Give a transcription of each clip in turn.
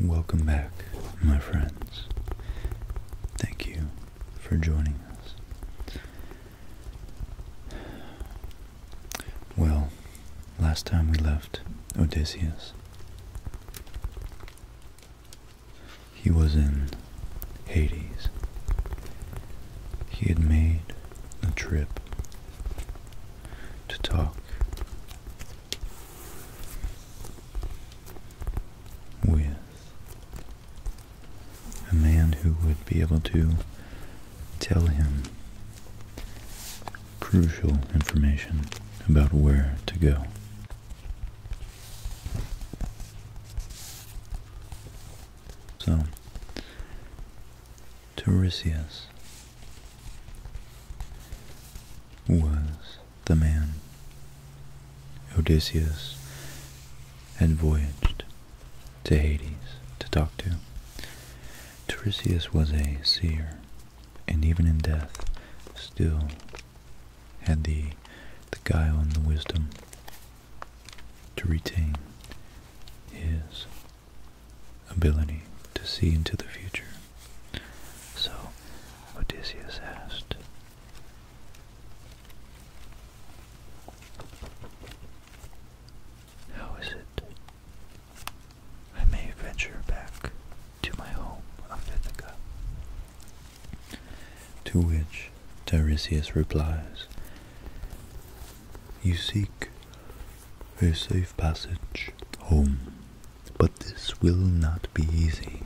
Welcome back, my friends. Thank you for joining us. Well, last time we left Odysseus, he was in Hades. He had made a trip to talk with a man who would be able to tell him crucial information about where to go. So, Tiresias was the man Odysseus and voyaged to Hades to talk to. Tiresias was a seer, and even in death still had the, the guile and the wisdom to retain his ability to see into the future. So Odysseus asked, how is it? I may venture back to my home of To which Tiresias replies, You seek a safe passage home, but this will not be easy,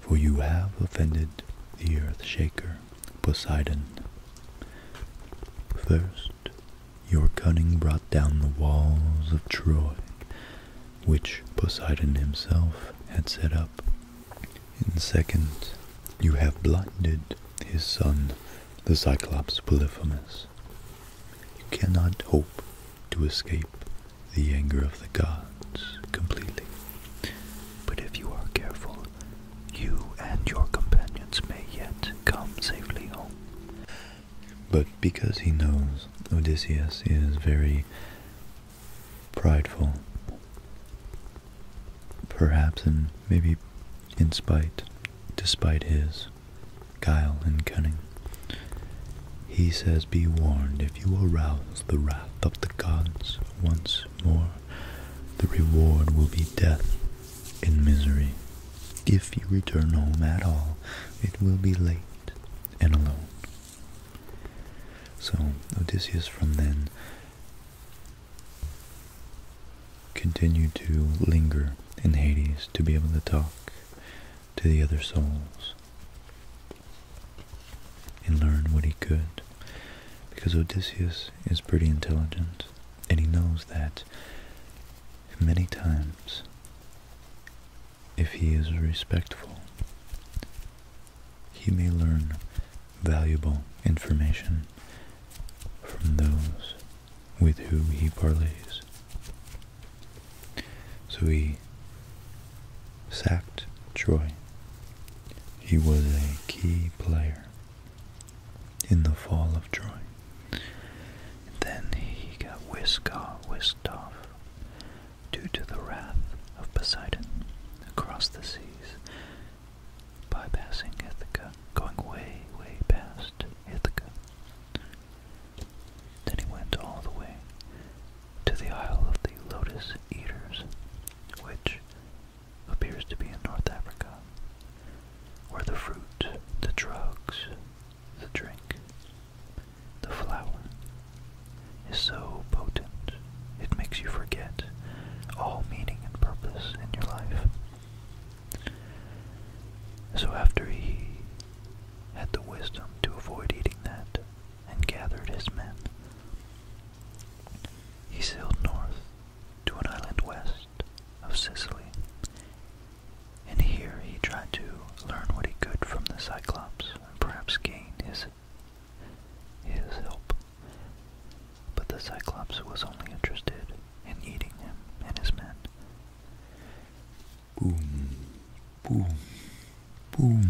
for you have offended the earth shaker, Poseidon. First, your cunning brought down the walls of Troy, which Poseidon himself had set up. And second, you have blinded his son, the Cyclops Polyphemus. You cannot hope to escape the anger of the gods completely. But if you are careful you and your companions may yet come safely home. But because he knows Odysseus is very prideful, perhaps and maybe in spite, despite his guile and cunning, he says, Be warned, if you arouse the wrath of the gods once more, the reward will be death in misery. If you return home at all, it will be late and alone. So Odysseus from then continued to linger in Hades to be able to talk to the other souls and learn what he could because Odysseus is pretty intelligent and he knows that many times, if he is respectful, he may learn valuable information from those with whom he parleys. So he sacked Troy. He was a key player in the fall of joy, then he got whisked off, whisked off due to the wrath of Poseidon across the seas, bypassing Ithaca, going way, way past Ithaca. Then he went all the way to the Isle of the Lotus Eaters, which appears to be in North Africa, where the fruit, the drugs, the drink, the flower is so potent it makes you forget all meaning and purpose in your life. So after he had the wisdom to avoid eating that and gathered his men, he sailed north to an island west of Sicily, and here he tried to learn what he could from the Cyclops and perhaps gain his, his help. But the Cyclops was only interested in eating him and his men. Boom, boom, boom.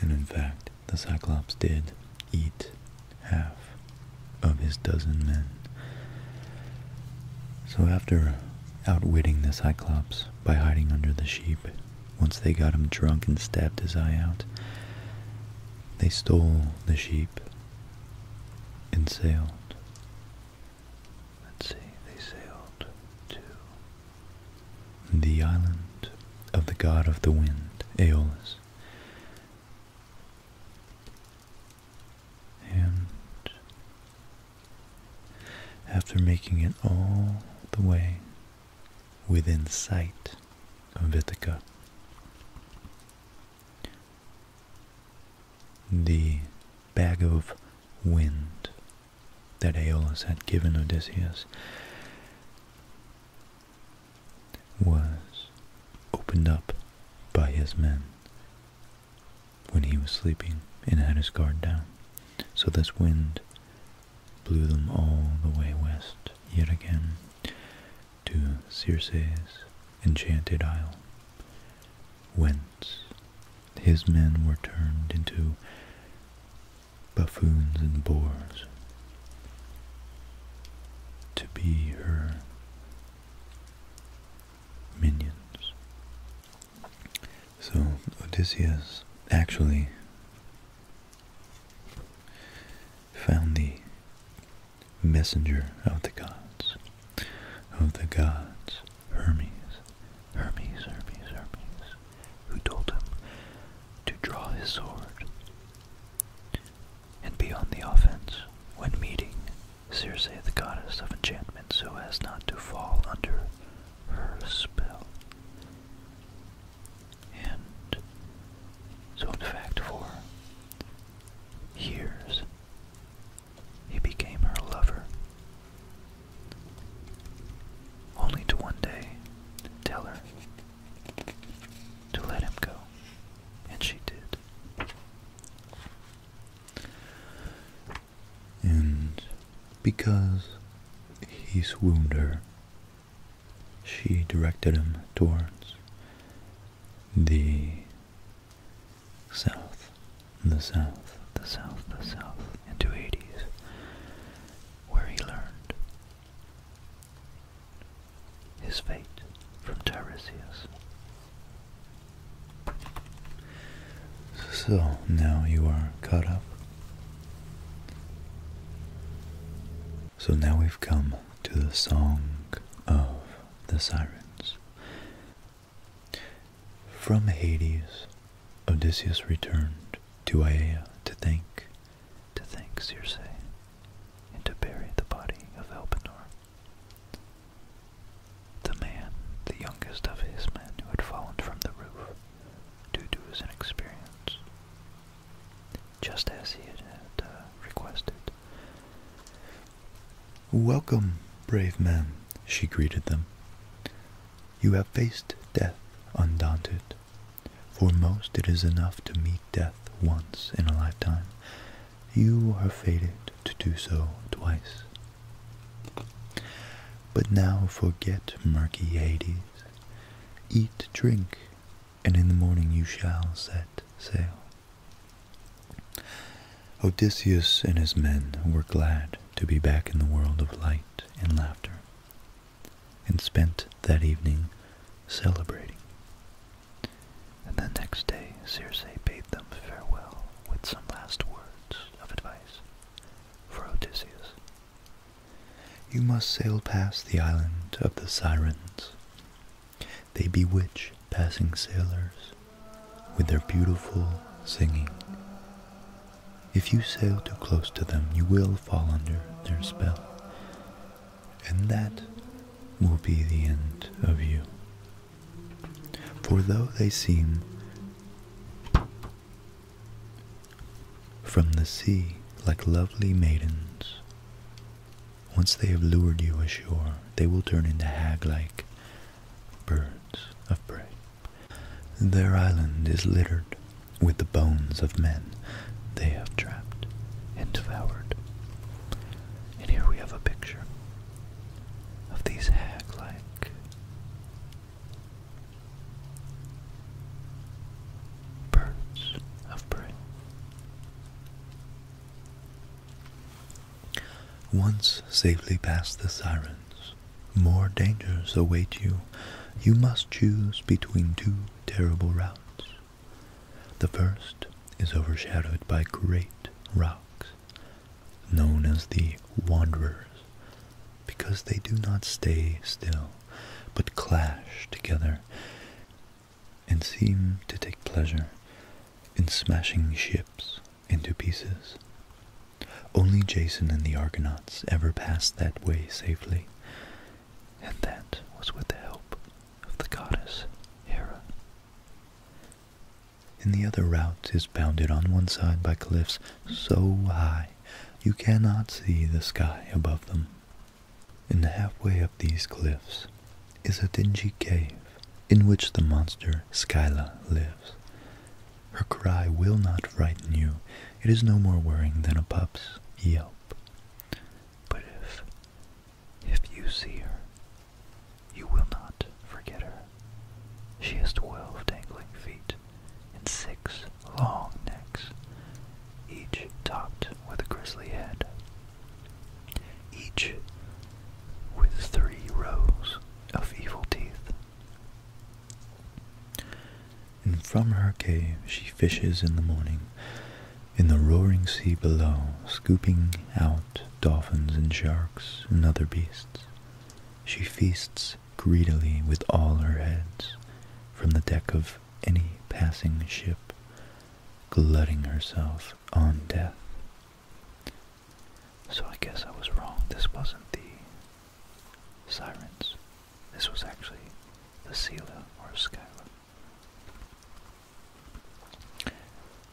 And in fact, the Cyclops did eat half of his dozen men. So after outwitting the Cyclops by hiding under the sheep, once they got him drunk and stabbed his eye out, they stole the sheep and sailed. Let's see, they sailed to the island of the god of the wind, Aeolus. And after making it all the way within sight of Ithaca, the bag of wind that Aeolus had given Odysseus was opened up by his men when he was sleeping and had his guard down. So this wind blew them all the way west yet again to Circe's enchanted isle, whence his men were turned into buffoons and boars to be her minions. So Odysseus actually found the messenger of the gods, of the gods, Hermes, Hermes, Hermes, Hermes, who told him to draw his sword and be on the offense when meeting Circe, the goddess of enchantment, so as not to fall under her spell. And so, in fact, for years, he became her lover. Only to one day tell her to let him go, and she did. And because he swooned her, she directed him towards the south, the south, the south, the south, into Hades, where he learned his fate from Tiresias. So now you are caught up. So now we've come to the song of the sirens. From Hades, Odysseus returned to Aea to thank, to thank Circe, and to bury the body of Elpenor. The man, the youngest of his men who had fallen from the roof due to his inexperience, just as he had, uh, requested. Welcome, brave men, she greeted them. You have faced death undaunted. For most it is enough to meet death once in a lifetime, you are fated to do so twice. But now forget murky Hades, eat, drink, and in the morning you shall set sail. Odysseus and his men were glad to be back in the world of light and laughter, and spent that evening celebrating. And the next day Circe bade them farewell with some last words of advice for Odysseus. You must sail past the island of the Sirens. They bewitch passing sailors with their beautiful singing. If you sail too close to them, you will fall under their spell, and that will be the end of you. For though they seem from the sea like lovely maidens, once they have lured you ashore, they will turn into hag like birds of prey. Their island is littered with the bones of men they have trapped and devoured. And here we have a picture of these hag-like birds of prey. Once safely past the sirens, more dangers await you. You must choose between two terrible routes. The first is overshadowed by great rocks known as the Wanderers, because they do not stay still, but clash together, and seem to take pleasure in smashing ships into pieces. Only Jason and the Argonauts ever passed that way safely, and that was with the help of the goddess Hera. And the other route is bounded on one side by cliffs so high you cannot see the sky above them. And halfway up these cliffs is a dingy cave in which the monster Skyla lives. Her cry will not frighten you. It is no more worrying than a pup's yelp. But if, if you see her, you will not forget her. She has twelve dangling feet and six long necks, each topped with a grisly head, each with three rows of evil teeth. And from her cave she fishes in the morning, in the roaring sea below, scooping out dolphins and sharks and other beasts. She feasts greedily with all her heads from the deck of any passing ship, glutting herself on death. So I guess I was wrong. This wasn't the sirens. This was actually the Sela or Scylla.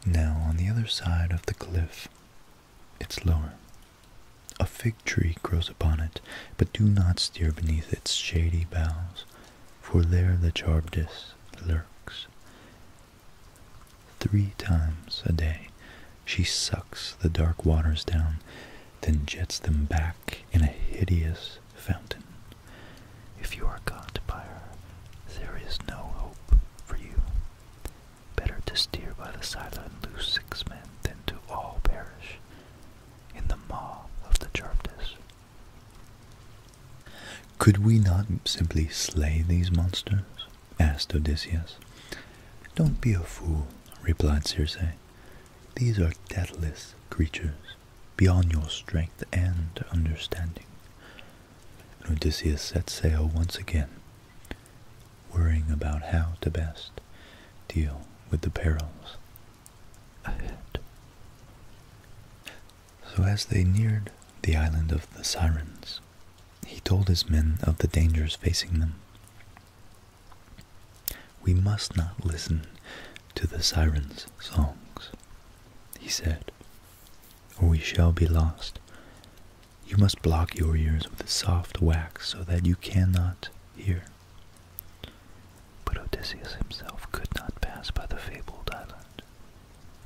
Now, on the other side of the cliff it's lower. A fig tree grows upon it, but do not steer beneath its shady boughs, for there the charbdis lurks. Three times a day she sucks the dark waters down, then jets them back in a hideous fountain. If you are caught by her, there is no hope for you. Better to steer by the side and lose six men than to all perish in the maw of the Charptus. Could we not simply slay these monsters? asked Odysseus. Don't be a fool, replied Circe. These are deathless creatures, beyond your strength and understanding. Odysseus set sail once again worrying about how to best deal with the perils ahead. So as they neared the island of the Sirens, he told his men of the dangers facing them. We must not listen to the Sirens' songs, he said, or we shall be lost you must block your ears with soft wax so that you cannot hear. But Odysseus himself could not pass by the fabled island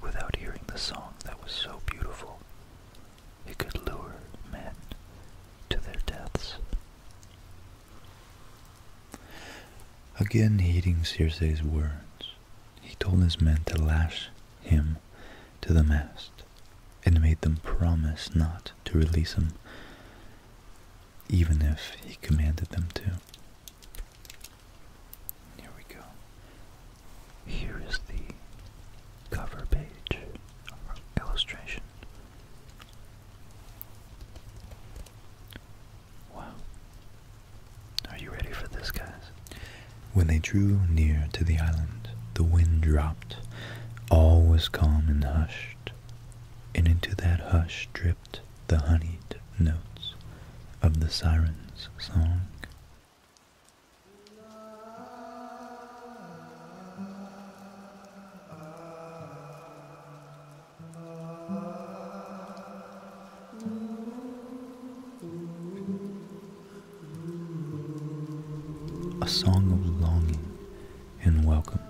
without hearing the song that was so beautiful it could lure men to their deaths. Again heeding Circe's words, he told his men to lash him to the mast and made them promise not to release him, even if he commanded them to. Here we go. Here is the cover page illustration. Wow. Are you ready for this, guys? When they drew near to the island, the wind dropped. All was calm and hushed, and into that hush dripped the honeyed notes of the siren's song a song of longing and welcome,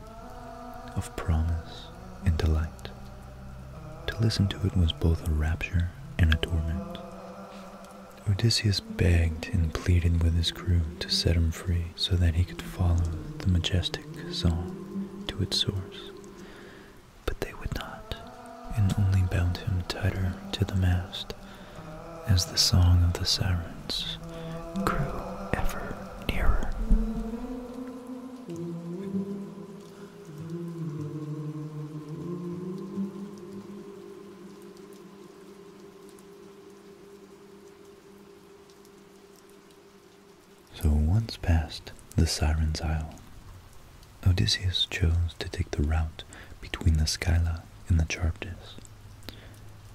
of promise and delight. To listen to it was both a rapture and a torment. Odysseus begged and pleaded with his crew to set him free so that he could follow the majestic song to its source, but they would not and only bound him tighter to the mast as the song of the sirens grew ever nearer. So once past the Sirens' Isle, Odysseus chose to take the route between the Scylla in the Charptus,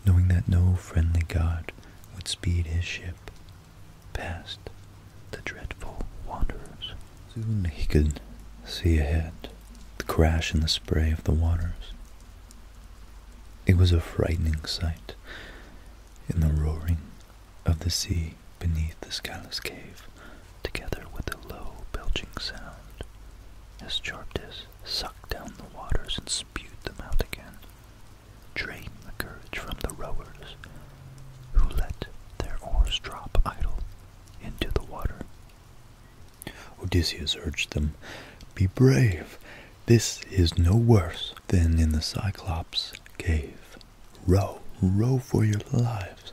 knowing that no friendly god would speed his ship past the dreadful wanderers. Soon he could see ahead the crash and the spray of the waters. It was a frightening sight in the roaring of the sea beneath the skyless cave together with a low belching sound, as Charptis sucked down the waters and spewed them out again, drained the courage from the rowers, who let their oars drop idle into the water. Odysseus urged them, Be brave. This is no worse than in the Cyclops' cave. Row, row for your lives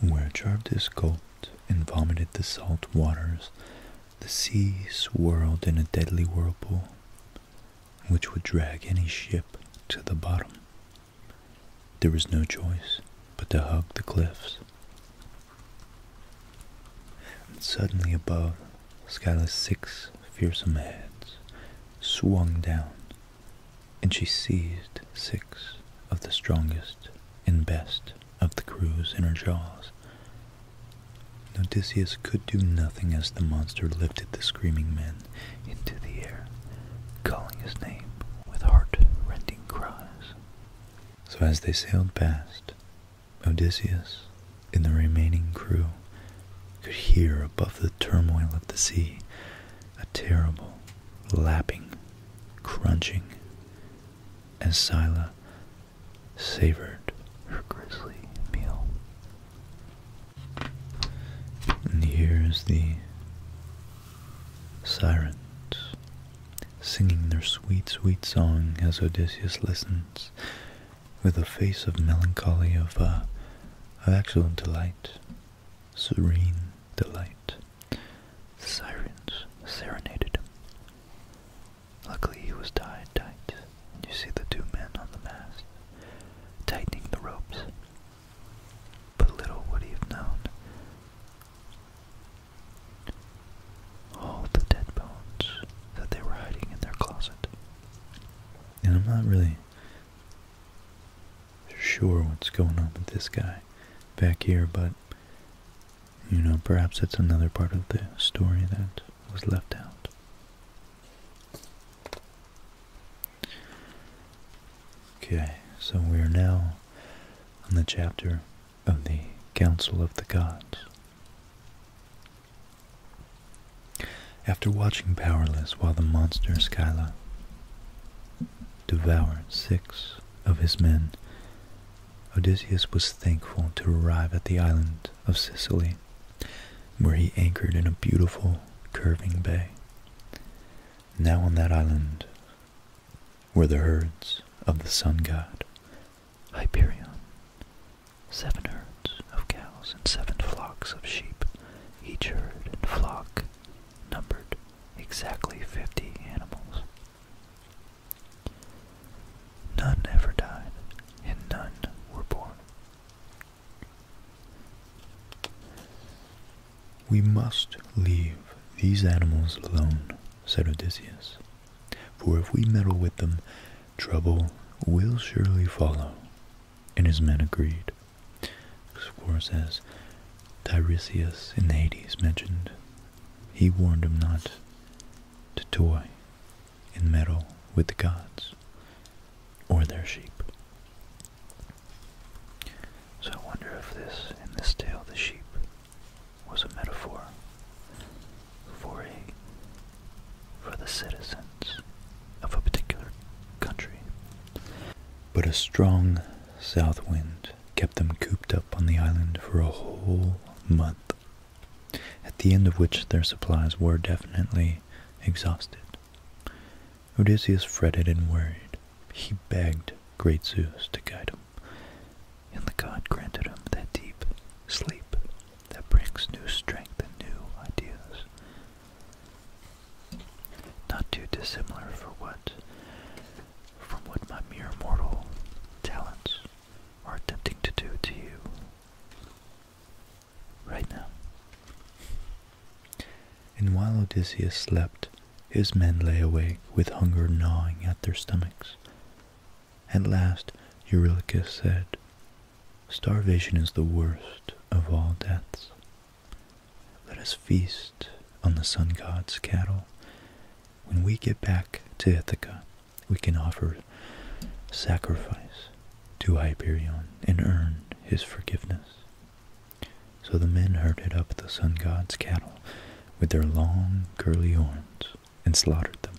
where is gulped and vomited the salt waters, the sea swirled in a deadly whirlpool, which would drag any ship to the bottom. There was no choice but to hug the cliffs. And suddenly above, Skyla's six fearsome heads swung down, and she seized six of the strongest and best of the crew's inner jaws. Odysseus could do nothing as the monster lifted the screaming men into the air, calling his name with heart-rending cries. So as they sailed past, Odysseus and the remaining crew could hear above the turmoil of the sea a terrible lapping, crunching, as Scylla savored her grisly meal. And here's the sirens singing their sweet, sweet song as Odysseus listens with a face of melancholy of, uh, of actual delight, serene delight. The sirens serenaded him. Luckily he was tied tight, you see the two men on the mast, tightening the ropes. But little would he have known. All the dead bones that they were hiding in their closet. And I'm not really sure what's going on with this guy back here, but you know, perhaps it's another part of the story that was left out. Okay, so we are now on the chapter of the Council of the Gods. After watching powerless while the monster Skyla devoured six of his men Odysseus was thankful to arrive at the island of Sicily, where he anchored in a beautiful, curving bay. Now on that island were the herds of the sun god, Hyperion, seven herds of cows and seven flocks of sheep. Each herd and flock numbered exactly fifty animals. None ever died, and none were born. We must leave these animals alone, said Odysseus, for if we meddle with them, trouble will surely follow. And his men agreed. Of course, as Tiresias in Hades mentioned, he warned him not to toy and meddle with the gods or their sheep. So I wonder if this, in this tale, the sheep was a metaphor for for the citizens of a particular country. But a strong south wind kept them cooped up on the island for a whole month, at the end of which their supplies were definitely exhausted. Odysseus fretted and worried. He begged great Zeus to guide him, and the god granted him that deep sleep that brings new strength and new ideas. Not too dissimilar for what from what my mere mortal talents are attempting to do to you right now. And while Odysseus slept, his men lay awake with hunger gnawing at their stomachs. At last Eurylochus said, Starvation is the worst of all deaths. Let us feast on the sun god's cattle when we get back to Ithaca, we can offer sacrifice to Hyperion and earn his forgiveness. So the men herded up the sun god's cattle with their long, curly horns and slaughtered them.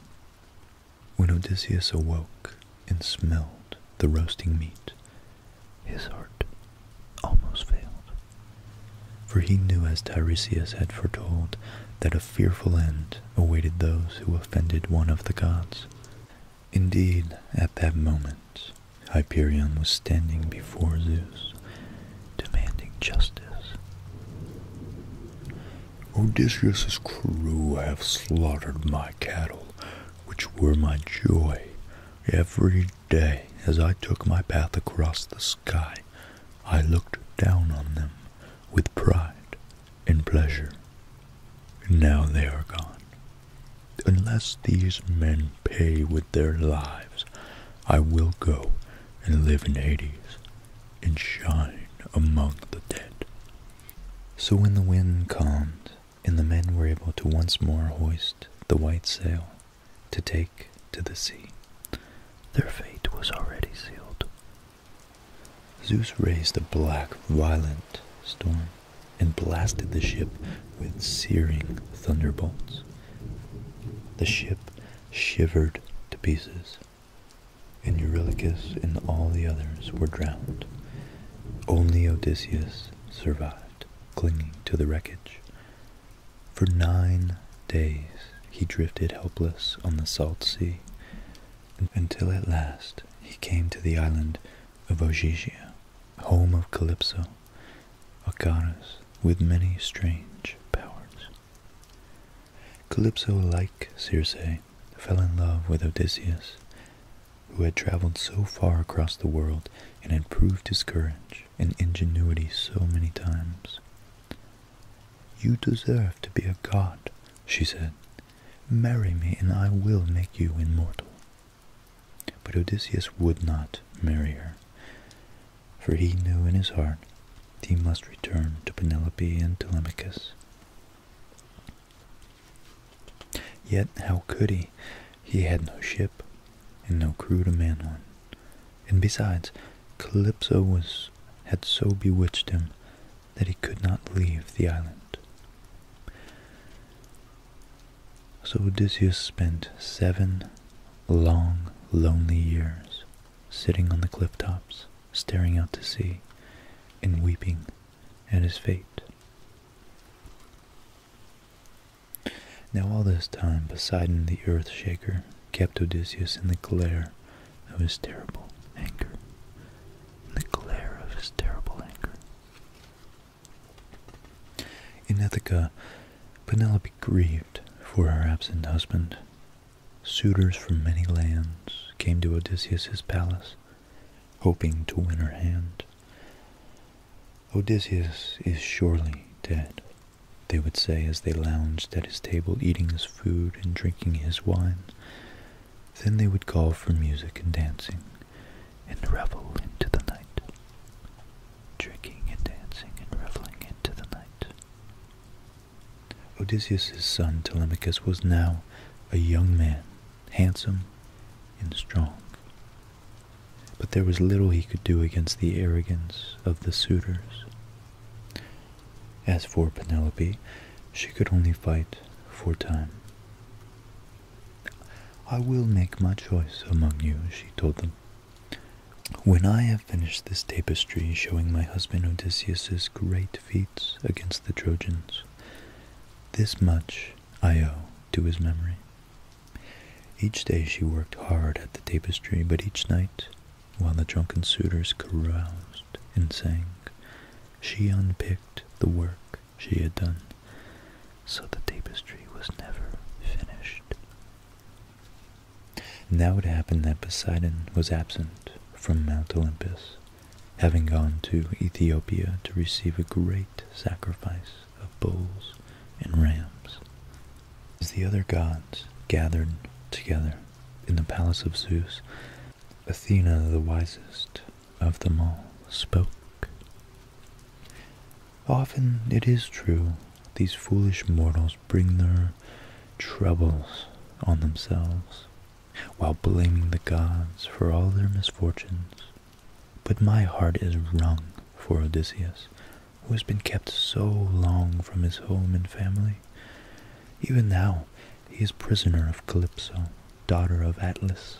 When Odysseus awoke and smelled the roasting meat, his heart almost failed. For he knew, as Tiresias had foretold, that a fearful end awaited those who offended one of the gods. Indeed, at that moment, Hyperion was standing before Zeus, demanding justice. Odysseus's crew have slaughtered my cattle, which were my joy, every day as I took my path across the sky, I looked down on them with pride and pleasure. Now they are gone. Unless these men pay with their lives, I will go and live in Hades and shine among the dead. So when the wind calmed and the men were able to once more hoist the white sail to take to the sea. Their fate was already sealed. Zeus raised a black, violent storm and blasted the ship with searing thunderbolts. The ship shivered to pieces, and Eurylochus and all the others were drowned. Only Odysseus survived, clinging to the wreckage. For nine days he drifted helpless on the salt sea, until at last he came to the island of Ogygia, home of Calypso, a goddess with many strange powers. Calypso, like Circe, fell in love with Odysseus, who had traveled so far across the world and had proved his courage and ingenuity so many times. You deserve to be a god, she said. Marry me, and I will make you immortal. But Odysseus would not marry her, for he knew in his heart that he must return to Penelope and Telemachus. Yet how could he? He had no ship and no crew to man one. And besides, Calypso was, had so bewitched him that he could not leave the island. So Odysseus spent seven long, lonely years sitting on the cliff tops, staring out to sea, and weeping at his fate. Now all this time Poseidon the Earth Shaker kept Odysseus in the glare of his terrible anger. In the glare of his terrible anger. In Ithaca, Penelope grieved for her absent husband. Suitors from many lands came to Odysseus' palace, hoping to win her hand. Odysseus is surely dead, they would say as they lounged at his table eating his food and drinking his wine. Then they would call for music and dancing, and revel into the night. Drinking and dancing and reveling into the night. Odysseus' son Telemachus was now a young man, handsome and strong. But there was little he could do against the arrogance of the suitors. As for Penelope, she could only fight for time. I will make my choice among you, she told them. When I have finished this tapestry showing my husband Odysseus's great feats against the Trojans, this much I owe to his memory. Each day she worked hard at the tapestry, but each night while the drunken suitors caroused and sang. She unpicked the work she had done, so the tapestry was never finished. Now it happened that Poseidon was absent from Mount Olympus, having gone to Ethiopia to receive a great sacrifice of bulls and rams. As the other gods gathered together in the palace of Zeus, Athena, the wisest of them all, spoke. Often it is true, these foolish mortals bring their troubles on themselves while blaming the gods for all their misfortunes. But my heart is wrung for Odysseus, who has been kept so long from his home and family. Even now, he is prisoner of Calypso, daughter of Atlas,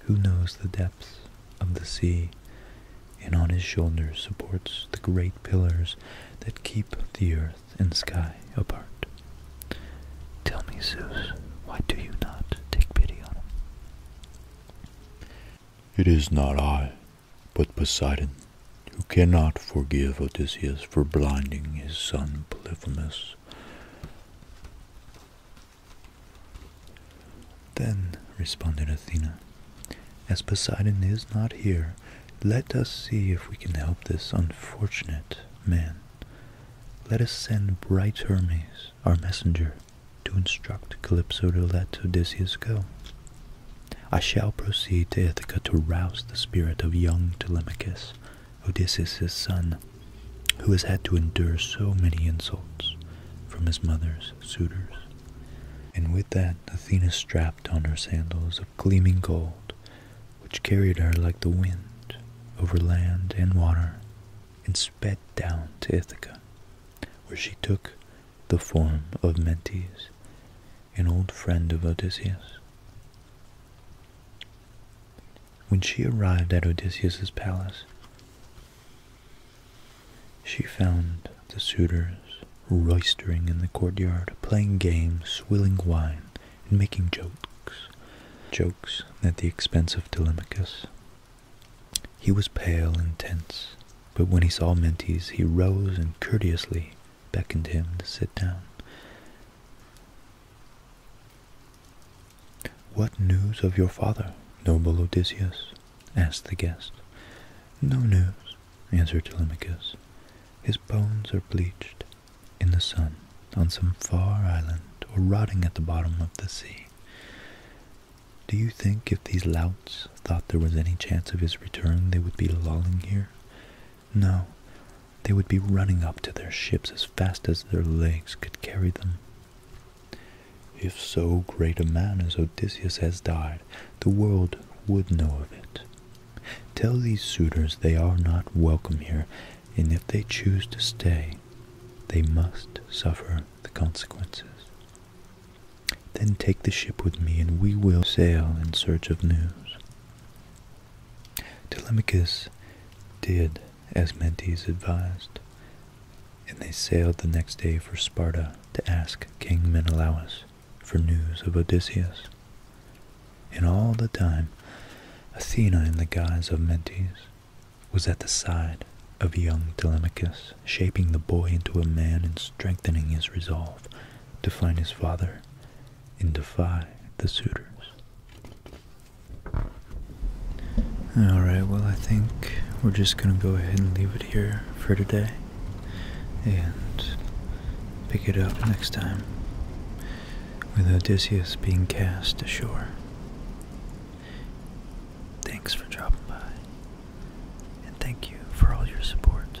who knows the depths of the sea, and on his shoulders supports the great pillars that keep the earth and sky apart. Tell me, Zeus, why do you not take pity on him? It is not I, but Poseidon, you cannot forgive Odysseus for blinding his son Polyphemus. Then responded Athena, as Poseidon is not here, let us see if we can help this unfortunate man. Let us send bright Hermes, our messenger, to instruct Calypso to let Odysseus go. I shall proceed to Ithaca to rouse the spirit of young Telemachus, Odysseus' son, who has had to endure so many insults from his mother's suitors. And with that, Athena strapped on her sandals of gleaming gold, which carried her like the wind over land and water, and sped down to Ithaca, where she took the form of Mentes, an old friend of Odysseus, when she arrived at Odysseus's palace, she found the suitors roistering in the courtyard, playing games, swilling wine, and making jokes. Jokes at the expense of Telemachus. He was pale and tense, but when he saw Mentes, he rose and courteously beckoned him to sit down. What news of your father, noble Odysseus? asked the guest. No news, answered Telemachus. His bones are bleached in the sun on some far island or rotting at the bottom of the sea. Do you think if these louts thought there was any chance of his return they would be lolling here? No, they would be running up to their ships as fast as their legs could carry them. If so great a man as Odysseus has died, the world would know of it. Tell these suitors they are not welcome here, and if they choose to stay, they must suffer the consequences. Then take the ship with me, and we will sail in search of news. Telemachus did as Mentes advised, and they sailed the next day for Sparta to ask King Menelaus for news of Odysseus. And all the time, Athena, in the guise of Mentes, was at the side of young Telemachus, shaping the boy into a man and strengthening his resolve to find his father and defy the suitors. Alright, well, I think we're just going to go ahead and leave it here for today and pick it up next time with Odysseus being cast ashore. Thanks for dropping by, and thank you for all your support.